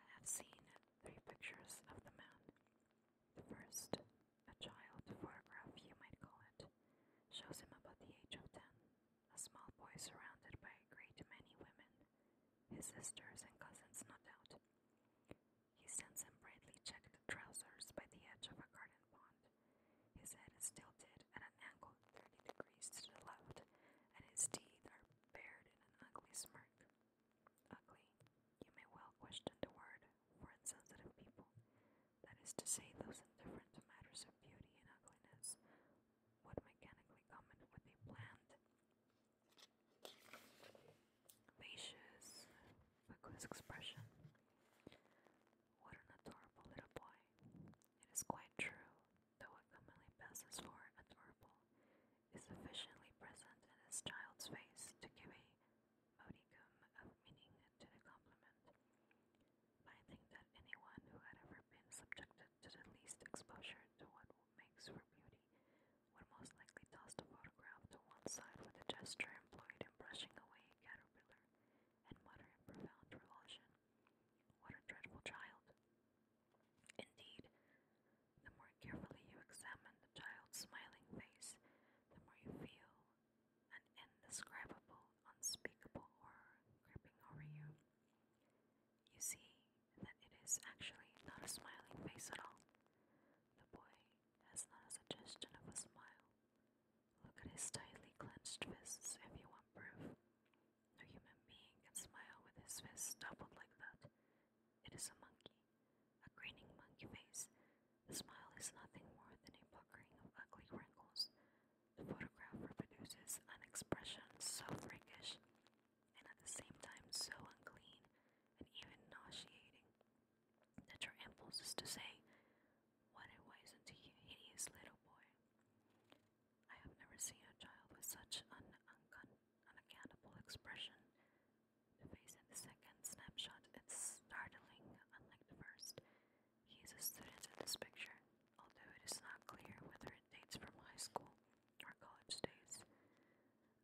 I have seen three pictures of the man. The first, a child photograph you might call it, shows him about the age of ten, a small boy surrounded by a great many women, his sisters and cousins, no doubt. He stands in brightly checked trousers by the edge of a garden pond. His head is tilted at an angle of thirty degrees to the left, and his teeth are bared in an ugly smirk. Ugly. You may well question the word for insensitive people, that is to say, those indifferent to matters of beauty and ugliness What mechanically common would be bland, vacious, vacuous expression. What an adorable little boy. It is quite true, though it commonly passes for adorable, is sufficiently present in his child's face to give a modicum of meaning to the compliment. I think that anyone who had ever been subjected to the least exposure to what makes for beauty would most likely toss the photograph to one side with a gesture employed in brushing away a caterpillar and mutter in profound revulsion, What a dreadful child! Indeed, the more carefully you examine the child's smiling face, the more you feel an indescribable, unspeakable horror creeping over you. You see that it is actually not a smiling face at all. The boy has not a suggestion of a smile. Look at his tightly clenched fists if you want proof. No human being can smile with his fists doubled like that. It is a monkey, a grinning monkey face. The smile is nothing more than a puckering of ugly wrinkles. The photograph reproduces an expression so freakish and at the same time so unclean and even nauseating that your impulse is to say, What a wizened, hideous little boy. I have never seen a child with such an unaccountable expression. The face in the second snapshot is startling, unlike the first. He is a student in this picture, although it is not clear whether it dates from high school or college days.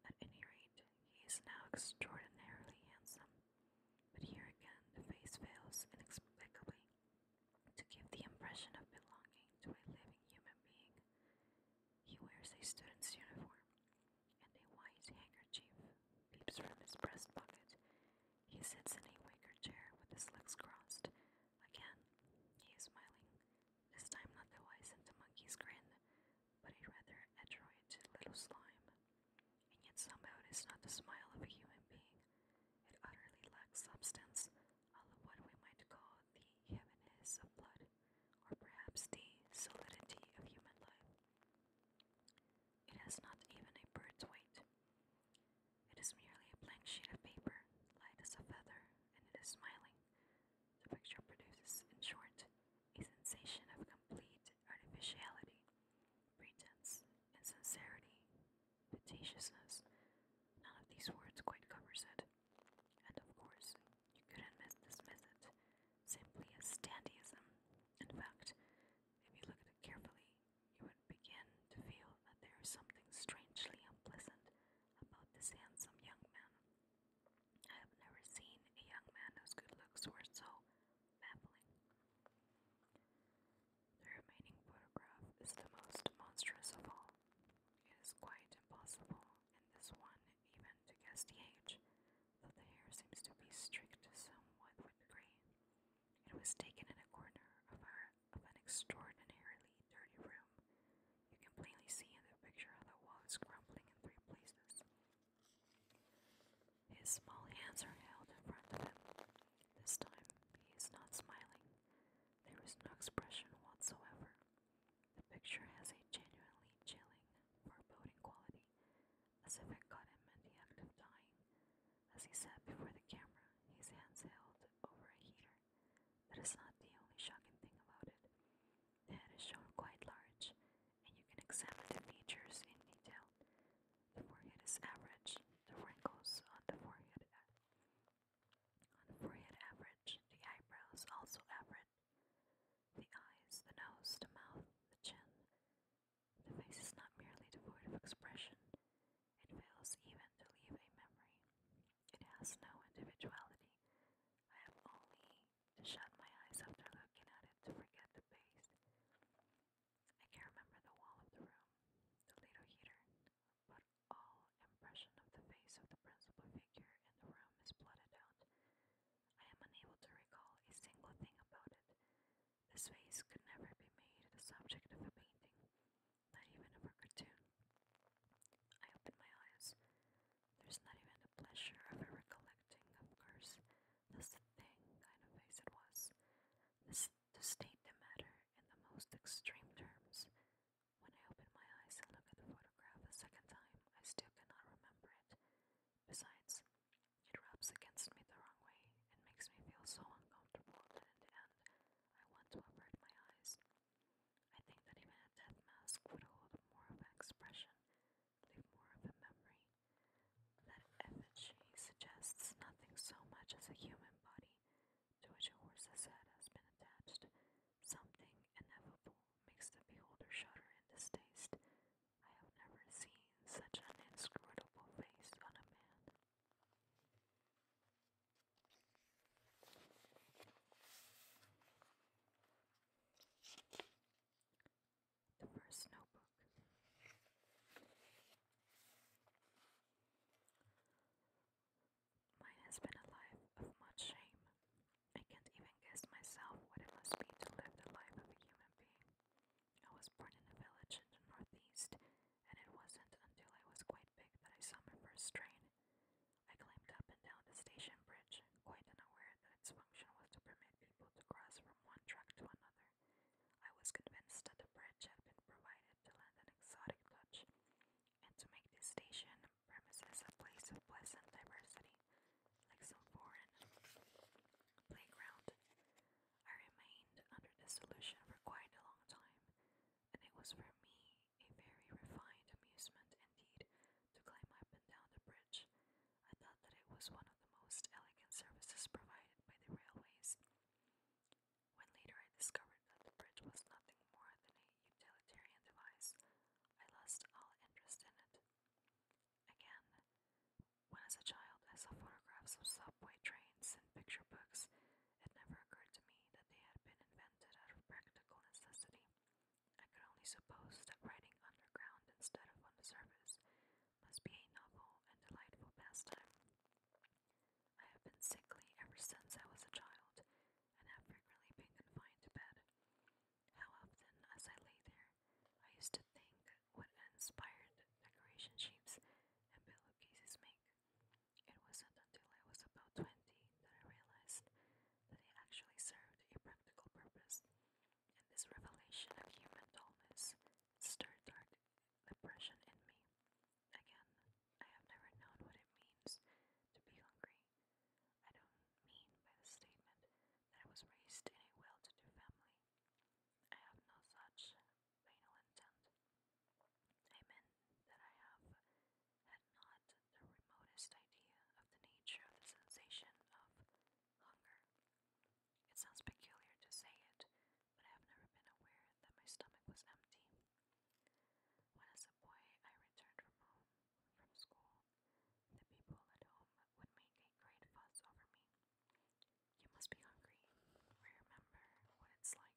At any rate, he is now extraordinarily handsome. But here again, the face fails inexplicably to give the impression of belonging to a living human being. He wears a student's uniform, and a white handkerchief peeps from his breast pocket. He sits in a wicker chair with his legs crossed. Again, he is smiling, this time not the wise wizened monkey's grin, but a rather adroit little slime. And yet somehow it is not the smile of a human being. It utterly lacks substance, all of what we might call the heaviness of blood or perhaps the solidity of human life. It has not even a bird's weight. It is merely a blank sheet of paper, light as a feather, and it is smiling. The picture produces, in short, a sensation of complete artificiality, pretense, insincerity, fatuousness. None of these words quite covers it. And of course, you couldn't miss this method, simply as dandyism. In fact, if you looked at it carefully, you would begin to feel that there is something strangely unpleasant about this handsome young man. I have never seen a young man whose good looks were so baffling. The remaining photograph is the most monstrous of all. It is quite impossible and this one even to guess the age, though the hair seems to be streaked somewhat with grey. It was taken in a corner of, our, of an extraordinarily dirty room. You can plainly see in the picture how the wall is crumbling in three places. His small hands are held in front of him. This time he is not smiling. There is no expression whatsoever. The picture has a genuinely chilling, foreboding quality, as if it the act of dying. As he sat before the camera, his hands held over a heater. That is not the only shocking thing about it. The head is shown quite large, and you can examine the features in detail. The forehead is average, the wrinkles on the forehead on the forehead average, the eyebrows also average. The eyes, the nose, the mouth, the chin. The face is not merely devoid of expression, it fails even to leave a memory. It has no individuality. I have only to shut my eyes after looking at it to forget the face. I can remember the wall of the room, the little heater, but all impression of the face of the principal figure in the room is blotted out. I am unable to recall a single thing about it. This face could never be made the subject of a painting, not even a cartoon. I open my eyes. There's not even the pleasure of recollecting, of course, this thing kind of face it was. This, to state the matter in the most extreme terms, when I open my eyes and look at the photograph a second time, I still cannot remember it. Besides, it rubs against me the wrong way and makes me feel so uncomfortable that in the end, I want to avert my eyes. I think that even a death mask would hold more of an expression, leave more of a memory. That effigy suggests nothing so much as a human body to which a horse's head has been attached. Something ineffable makes the beholder shudder in distaste. I have never seen such an inscrutable face on a man. The first notebook. Mine has been a life of much shame. I can't even guess myself what it must be to live the life of a human being. I was born in a village in the northeast, and it wasn't until I was quite big that I saw my first train. I climbed up and down the station bridge, quite unaware that its function was to permit people to cross from one track to another. I was convinced that the bridge had been provided to lend an exotic touch, and to make this station premises a place of pleasant diversity, like some foreign playground. I remained under this illusion for quite a long time, and it was for me a very refined amusement indeed to climb up and down the bridge. I thought that it was one of the most elegant services provided by the railways. When later I discovered that the bridge was nothing more than a utilitarian device, I lost all interest in it. Again, when as a child I saw photographs of subway trains in picture books, it never occurred to me that they had been invented out of practical necessity. I could only suppose that writing underground instead of on the surface must be a novel and delightful pastime. I have been sickly ever since I was a child, and have frequently been confined to bed. How often, as I lay there, I used to think what inspired decoration shapes and pillowcases make. It wasn't until I was about twenty that I realized that they actually served a practical purpose, and this revelation of human dullness stirred dark depression in me. Again, I have never known what it means to be hungry. I don't mean by the statement that I was raised in a well to do family. I have no such banal intent. I that I have had not the remotest idea of the nature of the sensation of hunger. It sounds peculiar to say it, but I have never been aware that my stomach was empty. When, as subway I returned from home, from school, the people at home would make a great fuss over me. You must be hungry. I remember what it's like,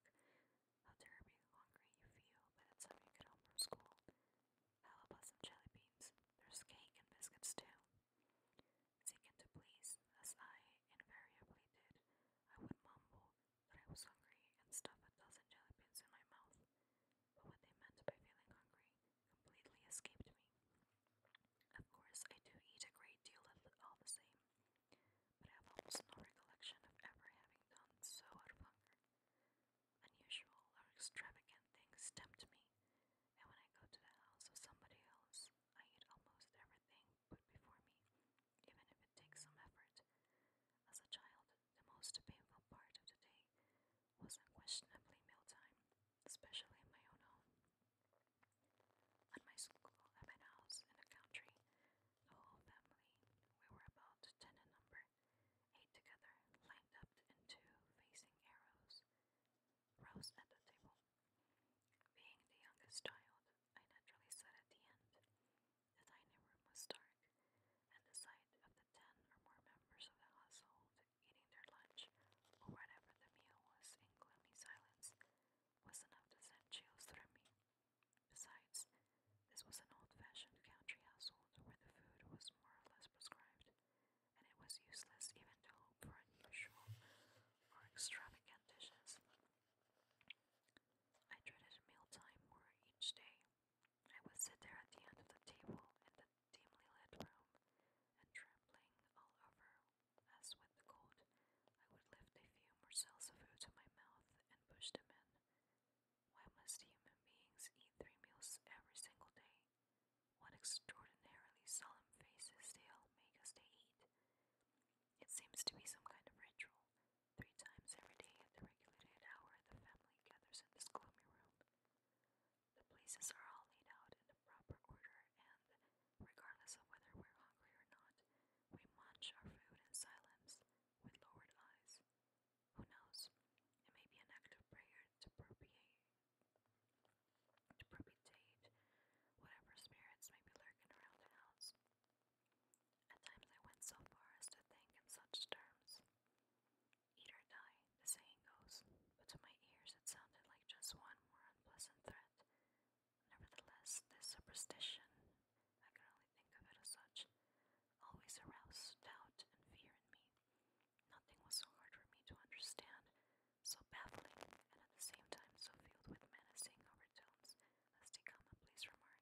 how terribly hungry you feel the time you get home from school. How about some jelly beans? There's cake and biscuits too. Seeking to please, as I invariably did, I would mumble, that I was hungry and stuffed a dozen jelly beans in my mouth, but what they meant by feeling hungry completely escaped me. Of course, I do eat a great deal of it all the same, but I have almost no recollection of ever having done so out of hunger. Unusual or extravagant things tempt me, and when I go to the house of somebody else, I eat almost everything put before me, even if it takes some effort. As a child, the most painful part of the day was unquestionably mealtime, especially in my own home. At my school, at my in the country, the whole family, we were about ten in number, ate together, lined up in facing arrows, rows at the table. Being the youngest child, I naturally sat at the end, the dining room was dark, and the sight of the ten or more members of the household eating their lunch or whatever the meal was in gloomy silence was enough to send chills through me. Besides, this was an old fashioned country household where the food was more or less prescribed, and it was useless even to hope for unusual or extravagant dishes. I dreaded mealtime more each day, I would sit there at the end of the table in the dimly lit room, and trembling all over as with cold, I would lift a few more cells of food to my mouth and push them in. Why must human beings eat three meals every single day? What extraordinarily solemn faces they all make as they eat. It seems to be some kind of ritual, Three times every day at the regulated hour, the family gathers in this gloomy room. The places are all laid out in the proper order, and regardless of whether we're hungry or not, we munch our food in silence with lowered eyes. Who knows? It may be an act of prayer to propitiate, to propitiate whatever spirits may be lurking around the house. At times I went so far as to think in such terms. Eat or die, the saying goes, but to my ears it sounded like just one more unpleasant threat. Nevertheless, this superstition, I could only think of it as such, always aroused doubt and fear in me. Nothing was so hard for me to understand, so baffling, and at the same time so filled with menacing overtones as to come a please remark.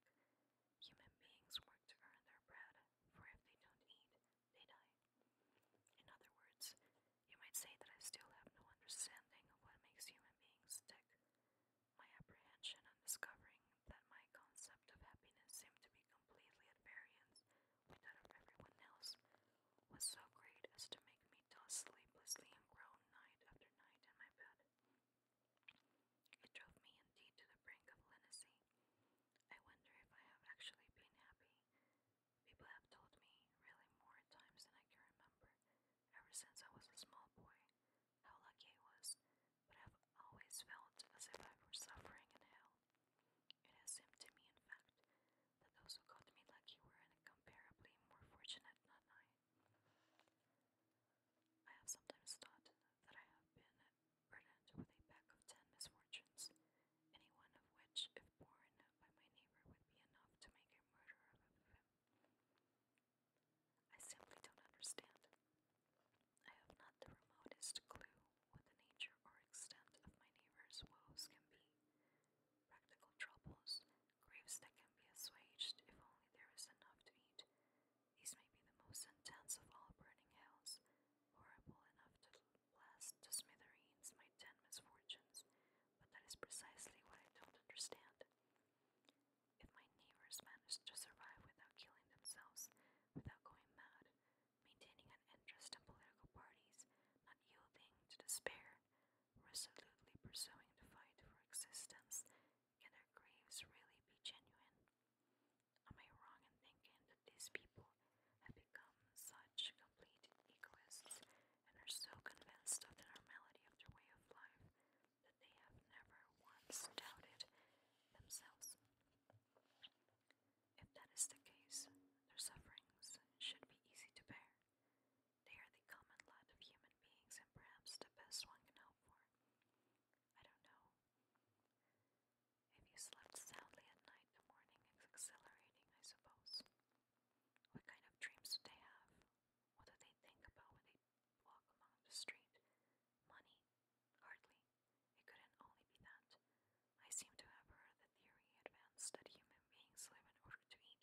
Human beings work to earn their bread, for if they don't eat, they die. In other words, you might say that I still have no understanding of what makes human beings tick. My apprehension on discovering that my concept of happiness seemed to be completely at variance with that of everyone else was so great as to make me toss sleeplessly and groan night after night in my bed. It drove me indeed to the brink of lunacy. I wonder if I have actually been happy. People have told me, really more at times than I can remember, ever since I was a small boy, how lucky I was, but I have always felt as if I were suffering in hell. It has seemed to me, in fact, that those who got me lucky were incomparably more fortunate than I. I have sometimes thought that I have been burdened with a pack of ten misfortunes, any one of which, if borne by my neighbor, would be enough to make a murderer of him. I simply don't understand. I have not the remotest clue what the nature or extent of my neighbor's woes can be. Practical troubles, griefs that can be assuaged if only there is enough to eat, these may be the most intense of all burning hells, horrible enough to blast to smithereens my ten misfortunes, but that is precisely what I don't understand. If my neighbors managed to survive without killing themselves, without going mad, maintaining an interest in political parties, not yielding to despair, resolutely pursuing the fight for existence, can their graves really be genuine? Am I wrong in thinking that these people have become such complete egoists and are so convinced of the normality of their way of life that they have never once doubted themselves? If that is the case, their sufferings should be easy to bear. They are the common lot of human beings and perhaps the best one can hope for. I don't know. If you slept soundly at night, the morning is exhilarating, I suppose. What kind of dreams do they have? What do they think about when they walk along the street? Money? Hardly. It couldn't only be that. I seem to have heard the theory advanced that human beings live in order to eat,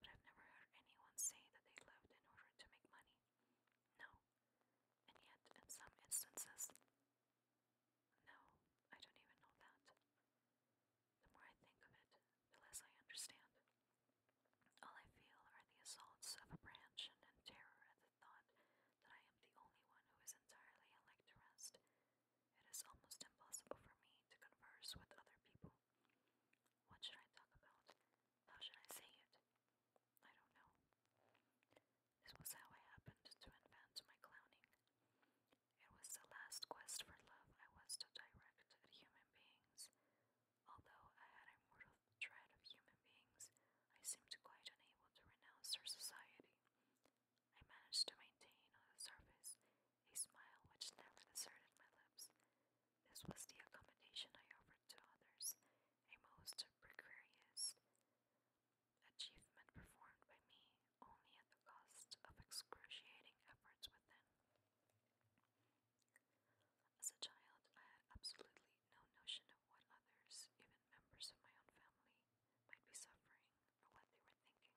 but I've never heard anyone say that they lived in order to make money. No, and yet, in some instances, no, I don't even know that. The more I think of it, the less I understand. All I feel are the assaults of apprehension and terror at the thought that I am the only one who is entirely unlike the rest. It is almost impossible for me to converse with other people. What should I talk about? How should I say it? I don't know. This was how I happened to invent my clowning. It was the last quest for love I was to direct at human beings. Although I had a mortal dread of human beings, I seemed quite unable to renounce their society. I managed to maintain on the surface a smile which never deserted my lips. This was the accommodation I offered to others, a most precarious achievement performed by me only at the cost of excruciating efforts within. As a child, I had absolutely no notion of what others, even members of my own family, might be suffering or what they were thinking.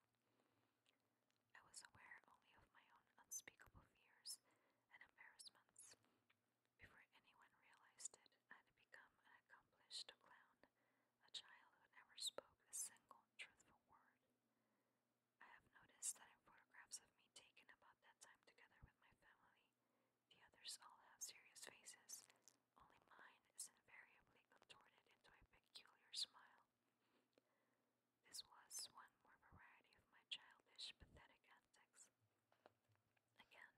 I was aware only of my own unspeakable fears and embarrassments, before anyone realized it, I had become an accomplished clown, a child who never spoke a single truthful word. I have noticed that in photographs of me taken about that time together with my family, the others all have serious faces, only mine is invariably contorted into a peculiar smile. This was one more variety of my childish, pathetic antics. Again,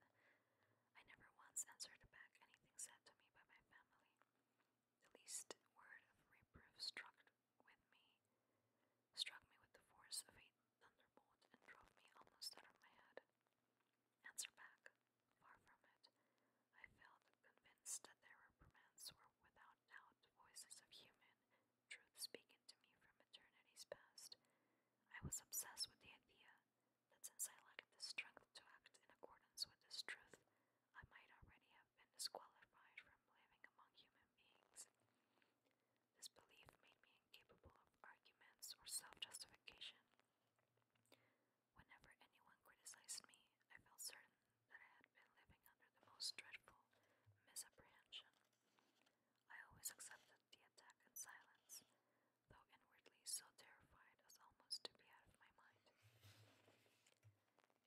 I never once answered back anything said to me by my family. The least word of reproof struck with me, struck me with the force of a thunderbolt and drove me almost out of my head. Answer back, far from it. I felt convinced that their reprimands were without doubt voices of human truth speaking to me from eternities past, I was obsessed with the idea that since I lacked the strength to act in accordance with this truth, I might already have been disqualified from living among human beings. This belief made me incapable of arguments or self justification. Whenever anyone criticized me, I felt certain that I had been living under the most dreadful misapprehension. I always accepted the attack in silence, though inwardly so terrified as almost to be out of my mind.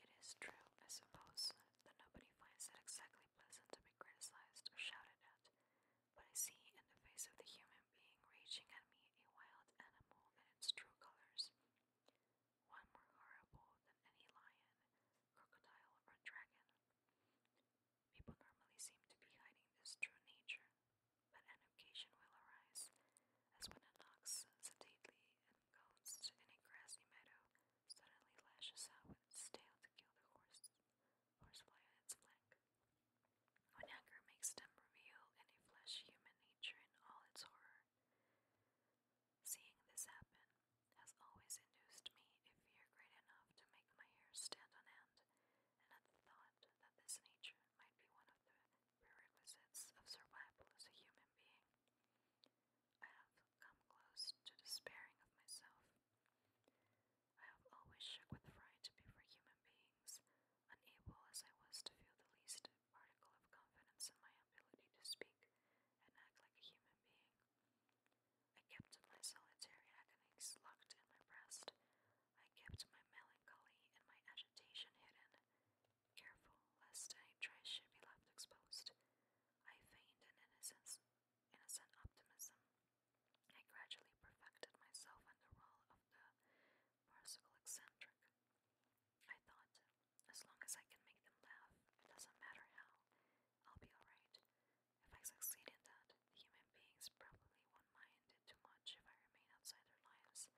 It is true, I suppose, that nobody finds it exactly pleasant to be criticized or shouted at, but I see in the face of the human being reaching at me a wild animal in its true colors, one more horrible than any lion, crocodile, or dragon. People normally seem to be hiding this true nature, but an occasion will arise, as when an ox sedately engulfed in a grassy meadow suddenly lashes out with its tail to kill the horse, horsefly on its flank. When hunger makes them reveal in a flesh human nature in all its horror. Seeing this happen has always induced me a fear great enough to my hair stand on end, and at the thought that this nature might be one of the prerequisites of survival as a human being, I have come close to despairing of myself. I have always shook with fright before human beings, unable as I was to feel the least particle of confidence in my ability to speak and act like a human being. I kept my solitary agony locked in my breast. I kept my melancholy and my agitation hidden, careful lest any trace should be left exposed. I feigned an innocence, innocent optimism. I gradually perfected myself in the role of the farcical eccentric. I thought, as long as I can make them laugh, it doesn't matter how, I'll be alright. If I succeed in that, human beings probably won't mind it too much if I remain outside their lives.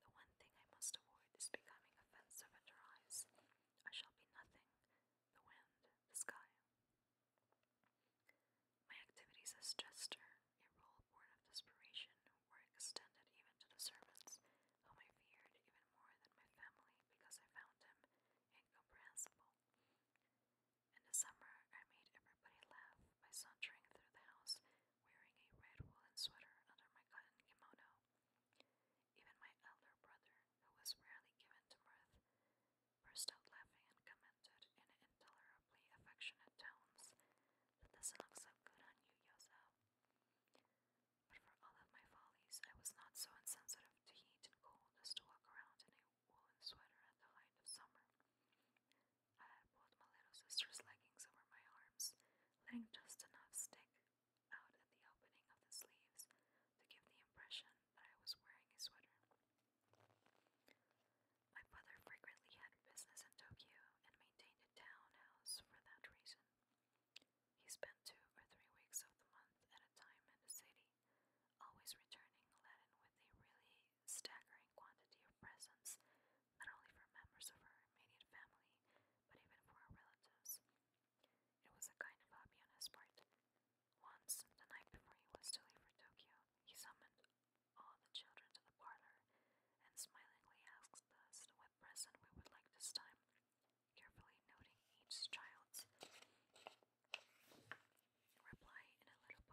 The one thing I must avoid is becoming offensive in their eyes. I shall be nothing the wind, the sky. My activities as jester, a role born of desperation, were extended even to the servants, whom I feared even more than my family because I found them incomprehensible. In the summer, I made everybody laugh by sauntering through the house wearing a red woolen sweater under my cotton kimono. Even my elder brother, who was rarely given to mirth, burst out laughing and commented in intolerably affectionate tones that doesn't look so good on you, Yozo. But for all of my follies, I was not so insensitive to heat and cold as to walk around in a woolen sweater at the height of summer. I pulled my little sister's leggings over my arms, letting just enough stick out at the opening of the sleeves to give the impression that I was wearing a sweater. My brother frequently had business in Tokyo and maintained a townhouse for that reason. He spent two or three weeks of the month at a time in the city always returning laden with a really staggering quantity of presents, not only for members of her immediate family, but even for her relatives. It was a kind of hobby on his part. Once, the night before he was to leave for Tokyo, he summoned all the children to the parlor and smilingly asked us what present we would like this time, carefully noting each child's Reply in a little book.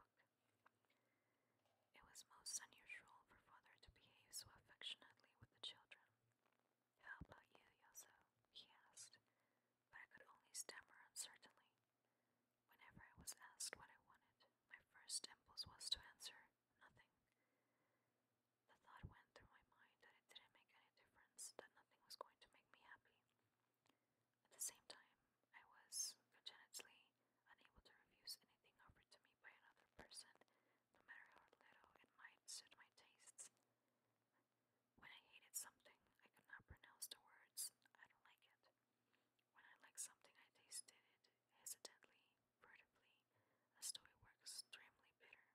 It was most unusual for father to behave so affectionately with the children. How about you, Yoso? he asked, but I could only stammer uncertainly. Whenever I was asked what I wanted, my first impulse was to answer nothing. The thought went through my mind that it didn't make any difference, that nothing was going to make me happy. At the same time, I was congenitally unable to refuse anything offered to me by another person, no matter how little it might suit my tastes. When I hated something, I could not pronounce the words, I don't like it. When I liked something, I tasted it hesitantly, furtively, as though it were extremely bitter.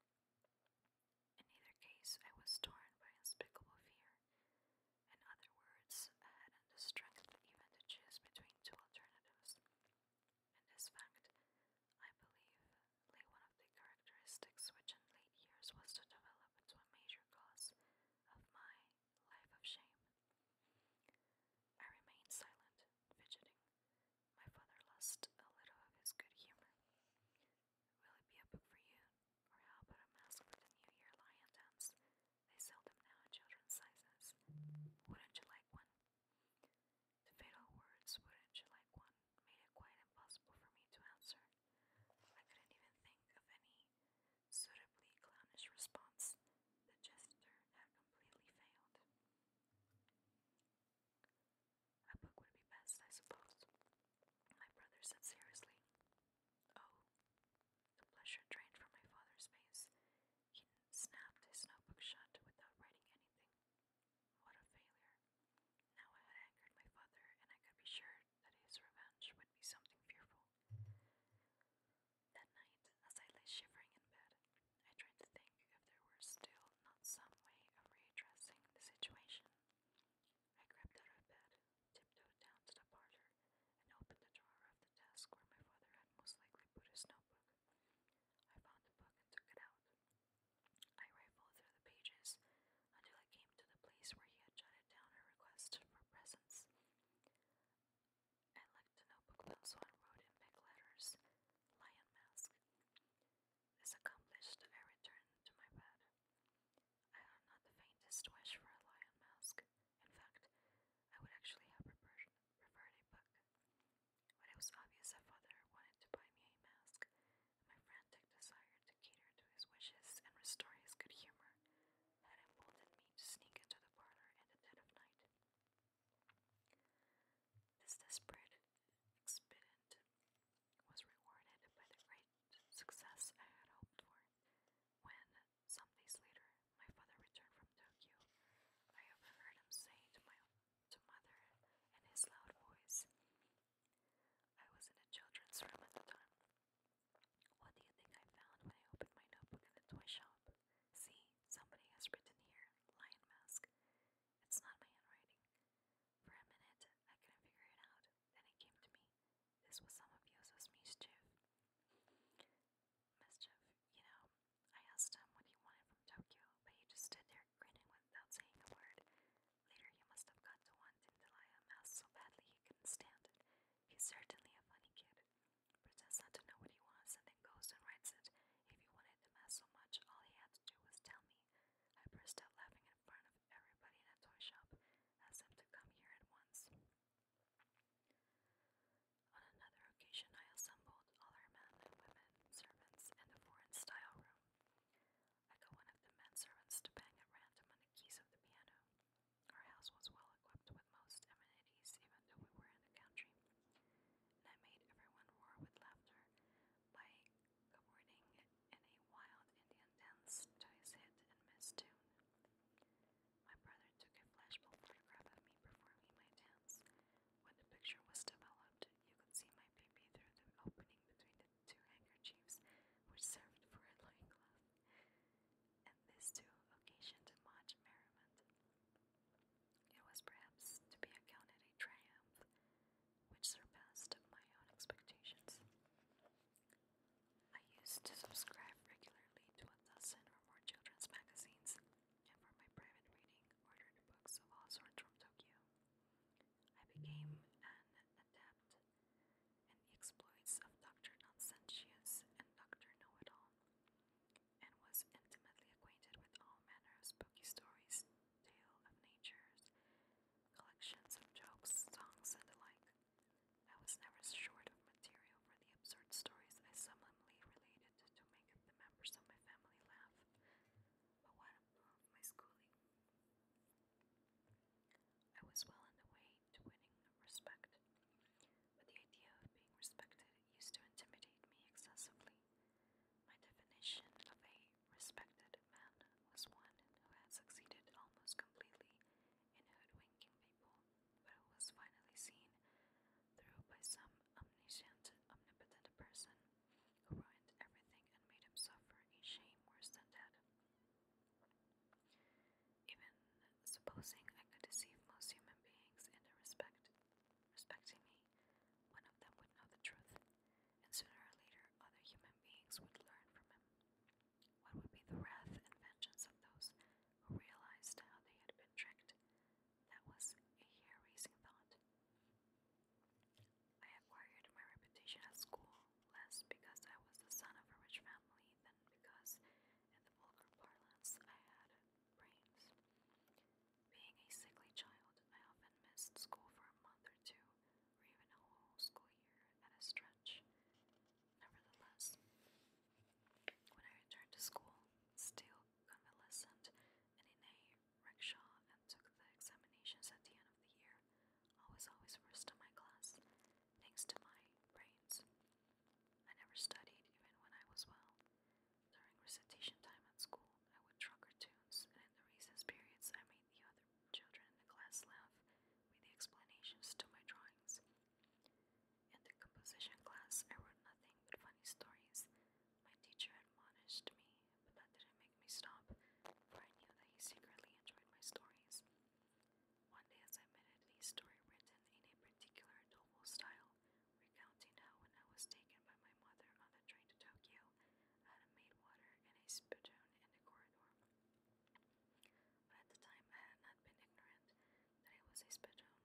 In either case, I was torn by unspeakable fear. In other words, I hadn't the strength even to choose between two alternatives. In this fact, I believe lay one of the characteristics which in late years was to develop into a major cause of my life of shame. I remained silent, fidgeting. My father lost a little of his good humor. Will it be a book for you? Or how about a mask for the New Year lion dance? They sell them now in children's sizes. Wouldn't you like one? The fatal words, wouldn't you like one, made it quite impossible for me to answer. I couldn't even think of any suitably clownish response. The gesture had completely failed. A book would be best, I suppose. My brother said seriously. Oh. The pleasure drained from my father's face. He snapped his notebook shut without writing anything. What a failure. Now I had angered my father, and I could be sure that his revenge would be something fearful. That night, as I lay shivering in bed, I tried to think if there were still not some way of readdressing the situation. I crept out of bed, tiptoed down to the parlor, and opened the drawer of the desk where my father had most likely put his notebook. I found the book and took it out. I rifled through the pages until I came to the place where he had jotted down a request for presents. I licked the notebook pencil and wrote in big letters, Lion Mask. This accomplished, I returned to my bed. I have not the faintest wish for a lion mask. In fact, I would actually have preferred, preferred a book. But it was obvious that father wanted to buy me a mask, and my frantic desire to cater to his wishes and restore his good humor had emboldened me to sneak into the parlor in the dead of night. This desperate expedient was rewarded by the great success I had hoped for. When, some days later, my father returned from Tokyo, I overheard him say to my to mother in his loud voice, I was in a children's room at the time. What do you think I found when I opened my notebook in the toy shop? See, somebody has written here, lion mask. It's not my handwriting. For a minute, I couldn't figure it out. Then he came to me. This was some of Yozo's mischief. Mischief, you know. I asked him what he wanted from Tokyo, but he just stood there grinning without saying a word. Later he must have got to wanting Delia Mouse so badly he couldn't stand it. He's certainly a funny kid. Pretends not to know what he wants and then goes and writes it. If he wanted the mess so much, all he had to do was tell me. I burst out laughing in front of everybody in a toy shop, asked him to come here at once. On another occasion, I assembled all our men and women servants in the foreign style room. I got one of the men servants to bang at random on the keys of the piano. Our house was well equipped with most amenities, even though we were in the country, and I made everyone roar with laughter by cavorting in a wild Indian dance to his hit and miss tune. My brother took a flashbulb photograph of me performing my dance. When the picture was developed, you could see my baby through the opening between the two handkerchiefs, which served for a loincloth. And this too occasioned much merriment. It was perhaps to be accounted a triumph which surpassed my own expectations. I used to subscribe regularly to a dozen or more children's magazines, and for my private reading, ordered books of all sorts from Tokyo. I became an adept in the exploits of Dr. Nonsensius and Dr. Know It All, and was intimately acquainted with all manner of spooky stories, tales of natures, collections of jokes, songs, and the like. I was never short of material for the absurd stories I solemnly related to, to make the members of my family laugh. But what my schooling? I was well on the way to winning respect, but the idea of being respected used to intimidate me excessively. My definition of a respected man was one who had succeeded almost completely in hoodwinking people, but who was finally seen through by some omniscient, omnipotent person who ruined everything and made him suffer a shame worse than death. Even supposing I could deceive most human beings into respect, respecting me, one of them would know the truth, and sooner or later other human beings would learn from him. What would be the wrath and vengeance of those who realized how they had been tricked? That was a hair raising thought. I acquired my reputation at school less because I was the son of a rich family than because, in the vulgar parlance, I had brains. Being a sickly child, I often missed school for a month or two even a whole school year at a stretch. Nevertheless, when I returned to school, still convalescent and in a rickshaw, and took the examinations at the end of the year, I was always first in my class, thanks to my brains. I never studied even when I was well. During recitation time at school, I would trucker tunes, and in the recess periods, I made the other Children in the class laugh with the explanations to my drawings. In the composition class, I wrote nothing but funny stories. My teacher admonished me, but that didn't make me stop, for I knew that he secretly enjoyed my stories. One day, as I submitted a story written in a particular novel style, recounting how when I was taken by my mother on the train to Tokyo, I had water and a spittoon in the corridor at the time I had not been ignorant that it was a spittoon.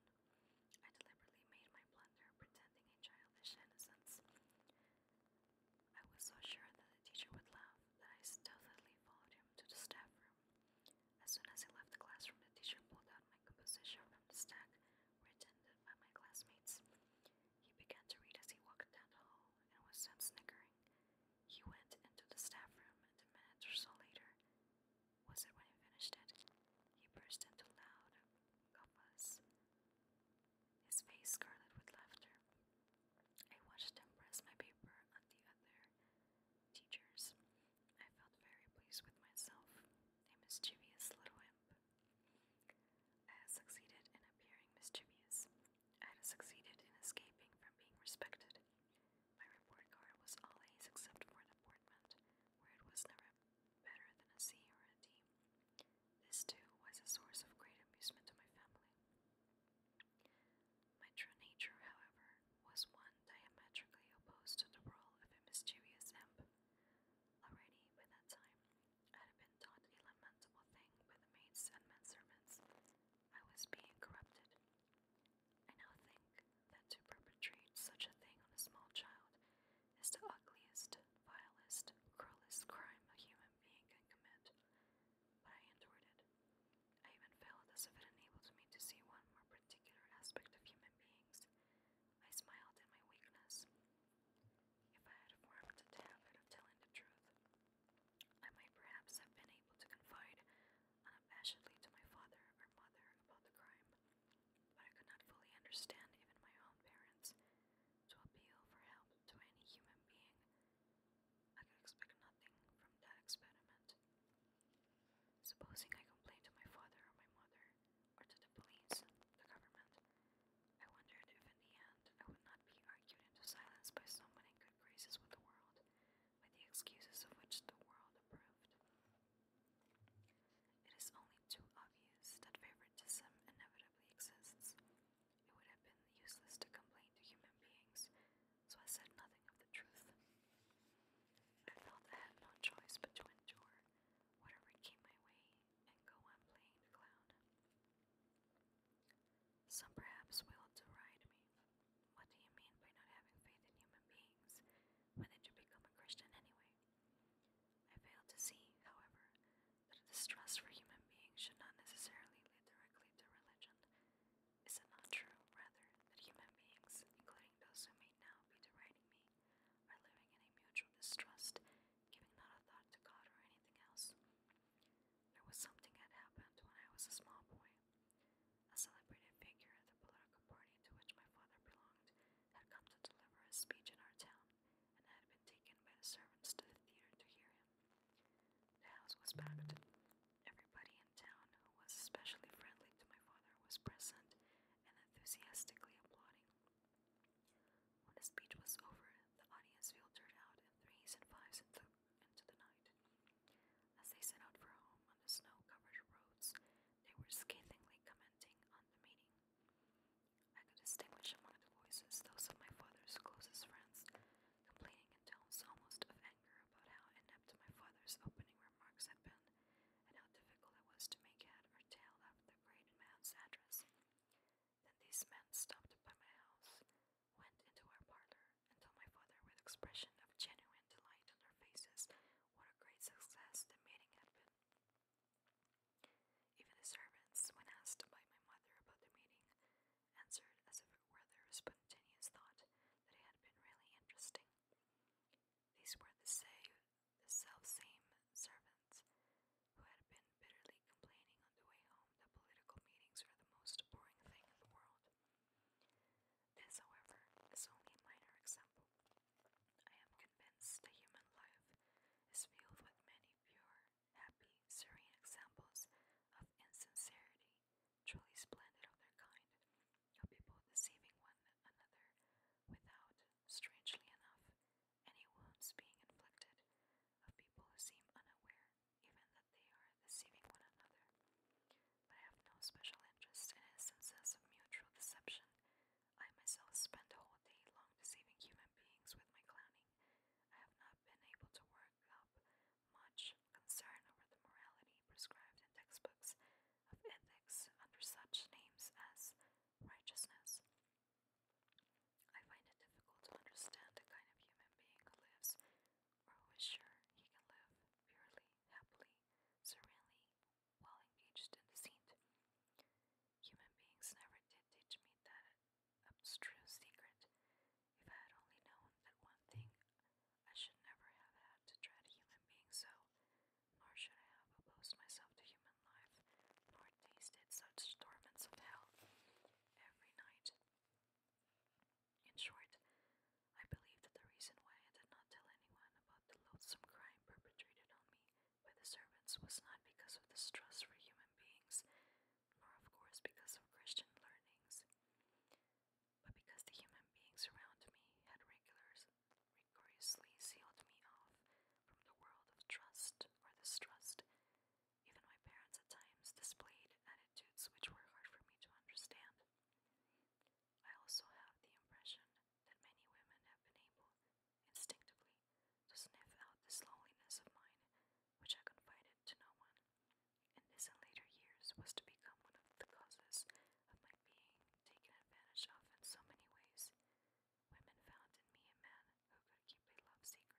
I deliberately made my blunder, pretending a childish innocence. I was so sure that the teacher would laugh that I stealthily followed him to the staff room. As soon as he left the classroom, the teacher pulled out my composition from the stack written by my classmates. He began to read as he walked down the hall and was soon snickering. He went into the staff room, and a minute or so later, was it when he finished it? He burst into loud guffaws, his face scarlet with laughter. I watched him press my paper on the other teachers. I felt very pleased with myself, a mischievous little imp. I succeeded in appearing mischievous. I had succeeded in escaping from being respected. My report card was all except for the Portment, where it was never better than a C or a D. This, too, was a source of great amusement to my family. My true nature, however, was one diametrically opposed to the role of a mischievous imp. Already, by that time, I had been taught a lamentable thing by the maids and men servants I was being corrupted. I now think that to perpetrate such a thing on a small child is the ugliest, vilest, cruelest crime a human being can commit. But I endured it. I even felt as if it enabled me to see one more particular aspect of human beings. I smiled at my weakness. If I had formed the habit of telling the truth, I might perhaps have been able to confide unabashedly um, to my father or mother about the crime, but I could not fully understand even my own parents. To appeal for help to any human being, I could expect nothing from that experiment. Supposing I complained to my father or my mother, or to the police, the government, I wondered if in the end I would not be argued into silence by someone graces with the world, with the excuses of which the world approved. It is only too obvious that favoritism inevitably exists. It would have been useless to complain to human beings, so I said nothing of the truth. I felt I had no choice but to endure whatever came my way and go on playing clown. Some perhaps will deride me. What do you mean by not having faith in human beings? When did you become a Christian anyway? I fail to see, however, that a distrust for human beings should not necessarily lead directly to religion. Is it not true, rather, that human beings, including those who may now be deriding me, are living in a mutual distrust, giving not a thought to God or anything else? There was something that happened when I was a small boy. A celebrated figure at the political party to which my father belonged had come to deliver a speech in our town, and had been taken by the servants to the theater to hear him. The house was packed. Everybody in town who was especially friendly to my father was present and enthusiastically applauding. When the speech was over, the audience filtered out in threes and fives and th into the night. As they set out for home on the snow covered roads, they were scathingly commenting on the meeting. I could distinguish among the voices those of my father's closest friends, complaining in tones almost of anger about how inept my father's opening remarks had been, and how difficult it was to make head or tail of the great man's address. Then these men stopped by my house, went into our parlor, and told my father with expression of genuine delight on their faces what a great success the meeting had been. Even the servants, when asked by my mother about the meeting, answered as if it were their spontaneous thought that it had been really interesting. These were the, say, self-same servants who had been bitterly loudly complaining on the way home that political meetings are the most boring thing in the world. This, however, is only a minor example. I am convinced that human life is filled with many pure, happy, serene examples of insincerity, truly splendid of their kind, of people deceiving one another without, strangely enough, any wounds being inflicted, of people who seem unaware even that they are deceiving one another, but I have no special interest in instances of mutual deception. I myself spend a whole day long deceiving human beings with my clowning. I have not been able to work up much concern over the morality prescribed in textbooks of ethics under such names as righteousness. I find it difficult to understand the kind of human being who lives, or who is sure he can live purely, happily, serenely, while engaged in deceit. Human beings never did teach me that abstruse secret. If I had only known that one thing, I should never have had to dread human beings so, nor should I have opposed myself to human life, nor tasted such torments of hell every night. In short, I believe that the reason why I did not tell anyone about the loathsome crime perpetrated on me by the servants was not because of distrust for human beings, nor of course because of Christian learnings, but because the human beings around me had regulars, rigorously sealed me off from the world of trust or distrust even my parents at times displayed attitudes which were hard for me to understand. I also have the impression that many women have been able, instinctively, to sniff out this loneliness of mine, which I confided to no one, and this in later years was to become one of the causes of my being taken advantage of in so many ways. Women found in me a man who could keep a love secret.